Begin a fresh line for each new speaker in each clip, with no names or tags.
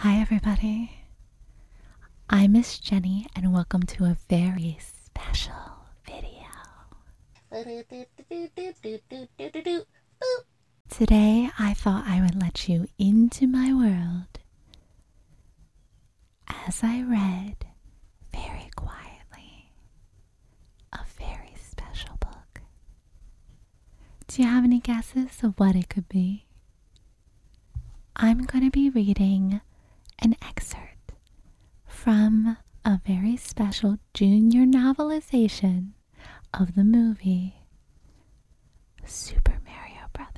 Hi, everybody. I'm Miss Jenny, and welcome to a very special video. Today, I thought I would let you into my world as I read very quietly a very special book. Do you have any guesses of what it could be? I'm going to be reading an excerpt from a very special junior novelization of the movie Super Mario Brothers.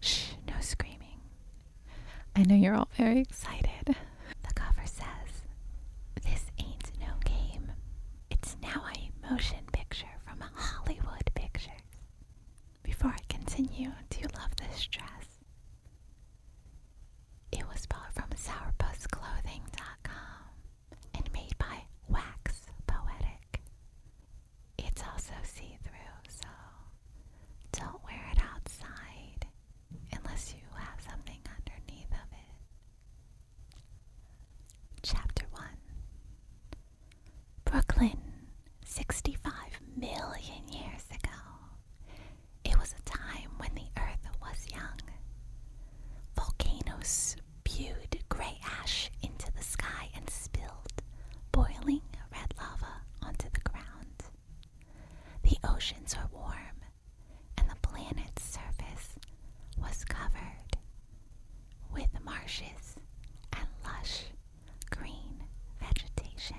Shh, no screaming. I know you're all very excited. The cover says, This ain't no game. It's now a motion picture from a Hollywood picture." Before I continue, do you love this dress? It was bought from sourpussclothing.com and made by Wax Poetic. It's also see through, so don't wear it outside unless you have something underneath of it. Chapter 1 Brooklyn, 65 million years ago. It was a time when the earth was young. Volcanoes spewed gray ash into the sky and spilled, boiling red lava onto the ground. The oceans were warm and the planet's surface was covered with marshes and lush green vegetation.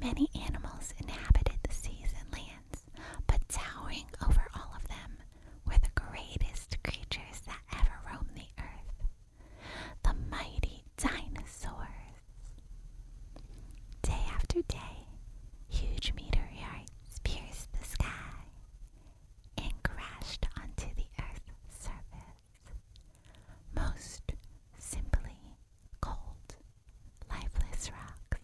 Many animals inhabited the seas and lands, but towering over all of them were the greatest creatures that ever roamed the earth the mighty dinosaurs. Day after day, huge meteorites pierced the sky and crashed onto the Earth's surface. Most simply cold, lifeless rocks.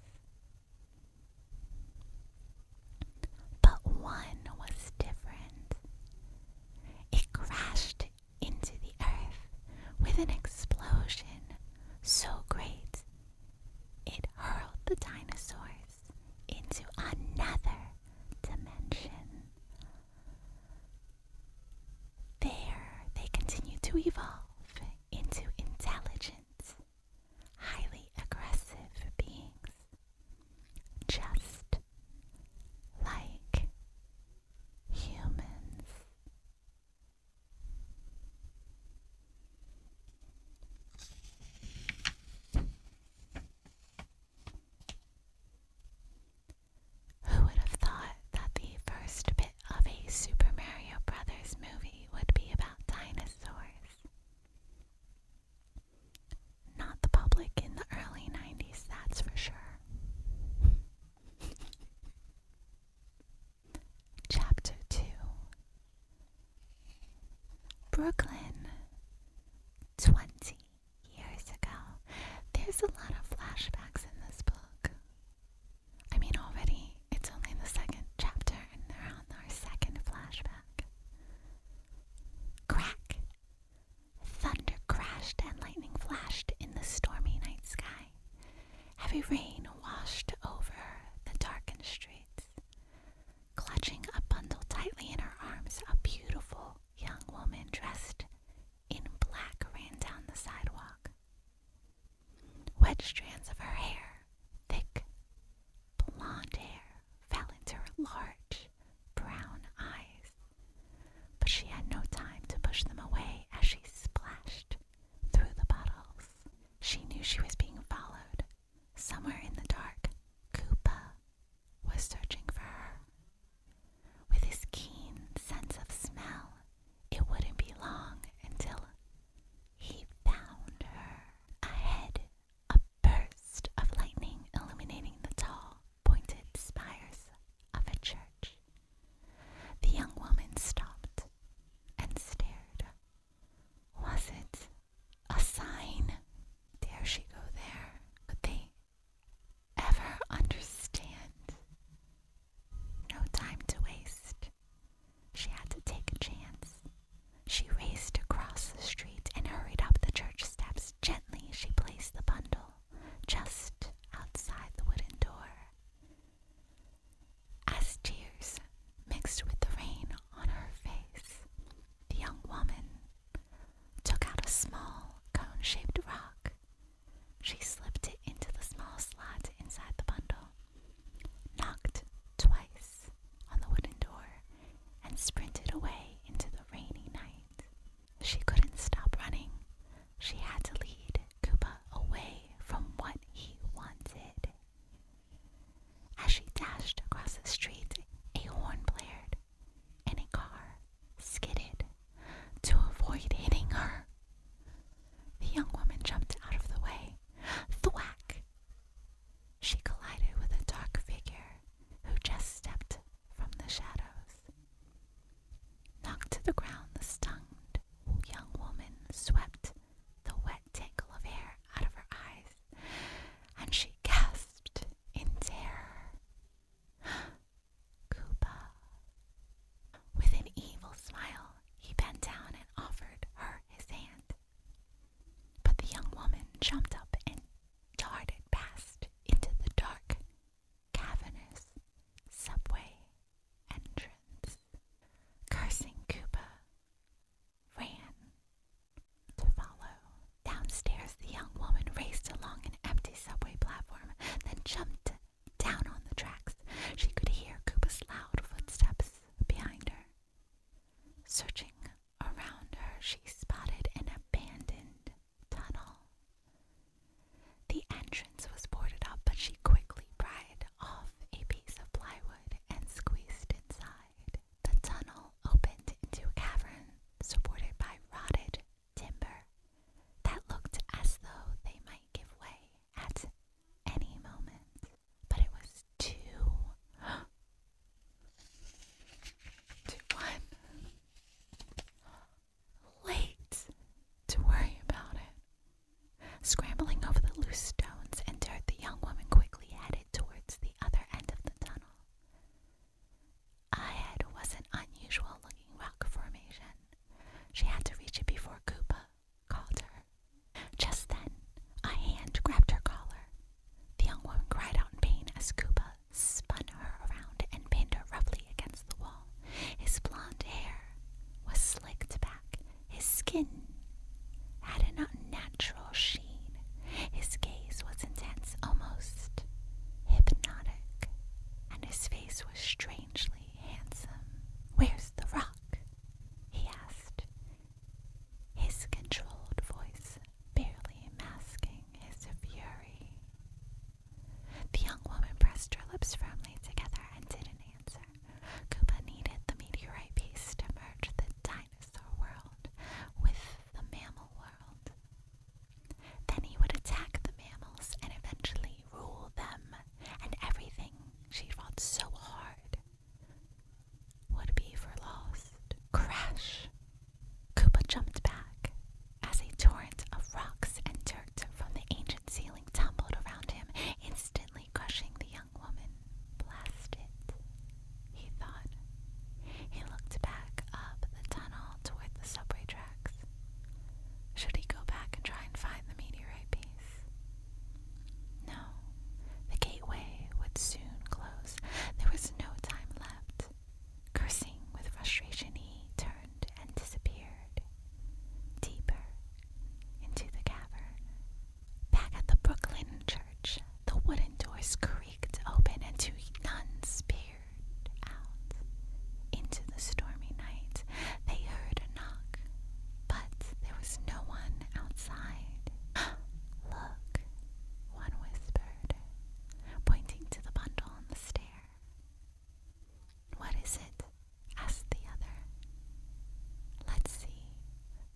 But one was different. It crashed into the earth with an explosion so great it hurled the dinosaurs into another dimension. There they continued to evolve into intelligent, highly aggressive beings. Just like humans. Who would have thought that the first bit of a Super Mario Brothers movie would be about dinosaurs? Not the public in the early 90s, that's for sure. Chapter 2 Brooklyn. 20 years ago. There's a lot of flashbacks in this book. I mean, already it's only the second chapter, and they're on our second flashback. Crack! Thunder crashed and lightning flashed in the stormy night sky. Heavy rain washed over the darkened streets. Clutching a bundle tightly in her arms, a beautiful young woman dressed in black ran down the sidewalk. Wet strands of her hair, thick blonde hair, fell into her large brown eyes. But she had no time to push them away as she splashed through the puddles. She knew she was being followed. Somewhere in the dark, Koopa was searching for her. With his keen sense of smell, it wouldn't be long until he found her. Ahead, a burst of lightning illuminating the tall, pointed spires of a church. The young woman stopped and stared. Was it a sign? Dare she go there? Could they ever understand? No time to waste. She had to take a chance. She raced across the street and hurried up the church steps. Gently she placed the bundle just outside the wooden door. As tears mixed with the rain on her face, the young woman took out a small cone shaped rock. She slipped it into the small slot inside the bundle, knocked twice on the wooden door, and sprinted away into the rainy night. She couldn't stop running. She had to lead Koopa away from what he wanted. As she dashed across the street, a horn blared and a car skidded to avoid hitting her. The young woman jumped out of the way. Thwack! She collided with a dark figure who just stepped from the shadows. Knocked to the ground, the stunned young woman swept the wet tangle of hair out of her eyes, and she gasped in terror. Koopa. With an evil smile, he bent down and offered her his hand. But the young woman jumped up and darted past into the dark cavernous subway entrance. Cursing Koopa ran to follow. Downstairs, the young woman raced along an empty subway platform, then jumped down on the tracks. She could hear Koopa's loud footsteps behind her. Searching around her, she spotted an abandoned tunnel. The entrance was boarded up, but she quickly pried off a piece of plywood and squeezed inside. The tunnel opened into a cavern supported by rotted timber that looked as though they might give way at any moment. But it was too to late to worry about it. Scrambling over the loose stones and dirt, the young woman quickly headed towards the other end of the tunnel. Ahead was an unusual looking rock formation. She had to reach it before Koopa called her. Just then, a hand grabbed her collar. The young woman cried out in pain as Kuba spun her around and pinned her roughly against the wall. His blonde hair was slicked back. His skin had an unnatural sheen. His gaze was intense, almost hypnotic, and his face was strangely handsome. Where's the rock? he asked. His controlled voice barely masking his fury. The young woman pressed her lips firmly together and didn't answer. Koopa needed the meteorite piece to merge the dinosaur world with the mammal world. Then he would attack the mammals and eventually rule them and everything she fought so hard would be for lost. Crash! Koopa jumped back as a torrent of rocks and dirt from the ancient ceiling tumbled around him, instantly crushing the young woman. Blast it, he thought. He looked back up the tunnel toward the subway tracks. Should he go back and try and find the meteorite piece? No. The gateway would soon close. There was no time left. Cursing with frustration, he turned and disappeared. Deeper into the cavern. Back at the Brooklyn church, the wooden doors creaked open and two nuns peered out. Into the stormy night, they heard a knock, but there was no one outside. Look, one whispered, pointing to the bundle on the stair. What is it? asked the other. Let's see.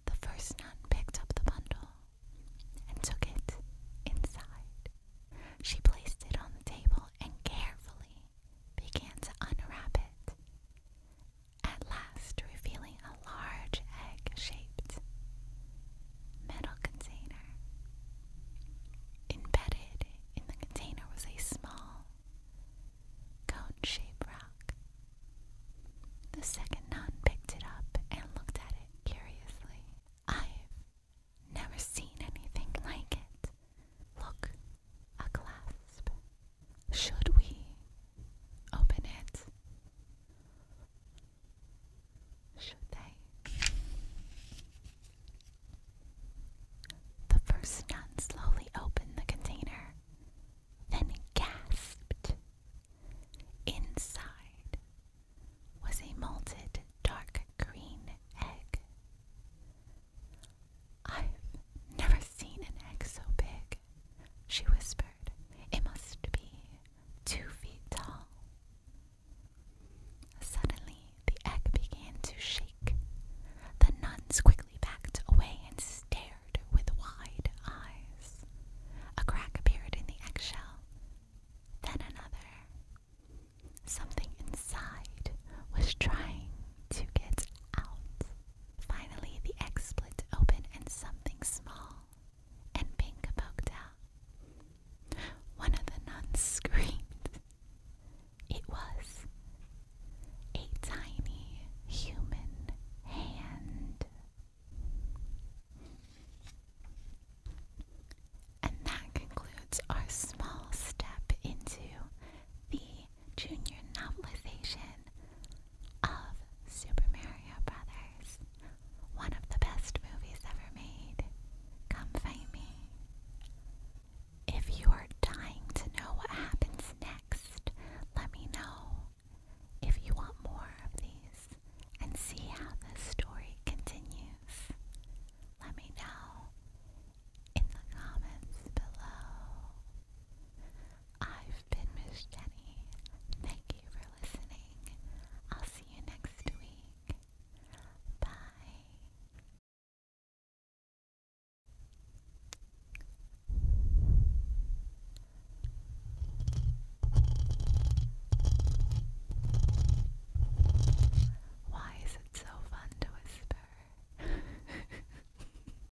The first nun picked up the bundle and took it inside. She placed it on the table and carefully began to unwrap it, at last revealing a large egg-shaped metal container. Embedded in the container was a small cone-shaped rock. The second nun picked it up and looked at it curiously. I've never seen anything like it. Look, a clasp. Should we open it? Should they? The first nun slowly opened the container, then gasped. Inside was a molted dark green egg. I've never seen an egg so big she whispered. It must be two feet tall. Suddenly, the egg began to shake. The nuns quickly backed away and stared with wide eyes. A crack appeared in the eggshell, then another. Something inside was trying to get out. Finally, the egg split open and something small and pink poked out. One of the nuns screamed. It was a tiny human hand. And that concludes our small step into the junior novelization of Super Mario Brothers, one of the best movies ever made. Come find me. If you are dying to know what happens next, let me know. If you want more of these and see how this story continues, let me know in the comments below. I've been Miss Jenny. Thank you for listening. I'll see you next week. Bye. Why is it so fun to whisper?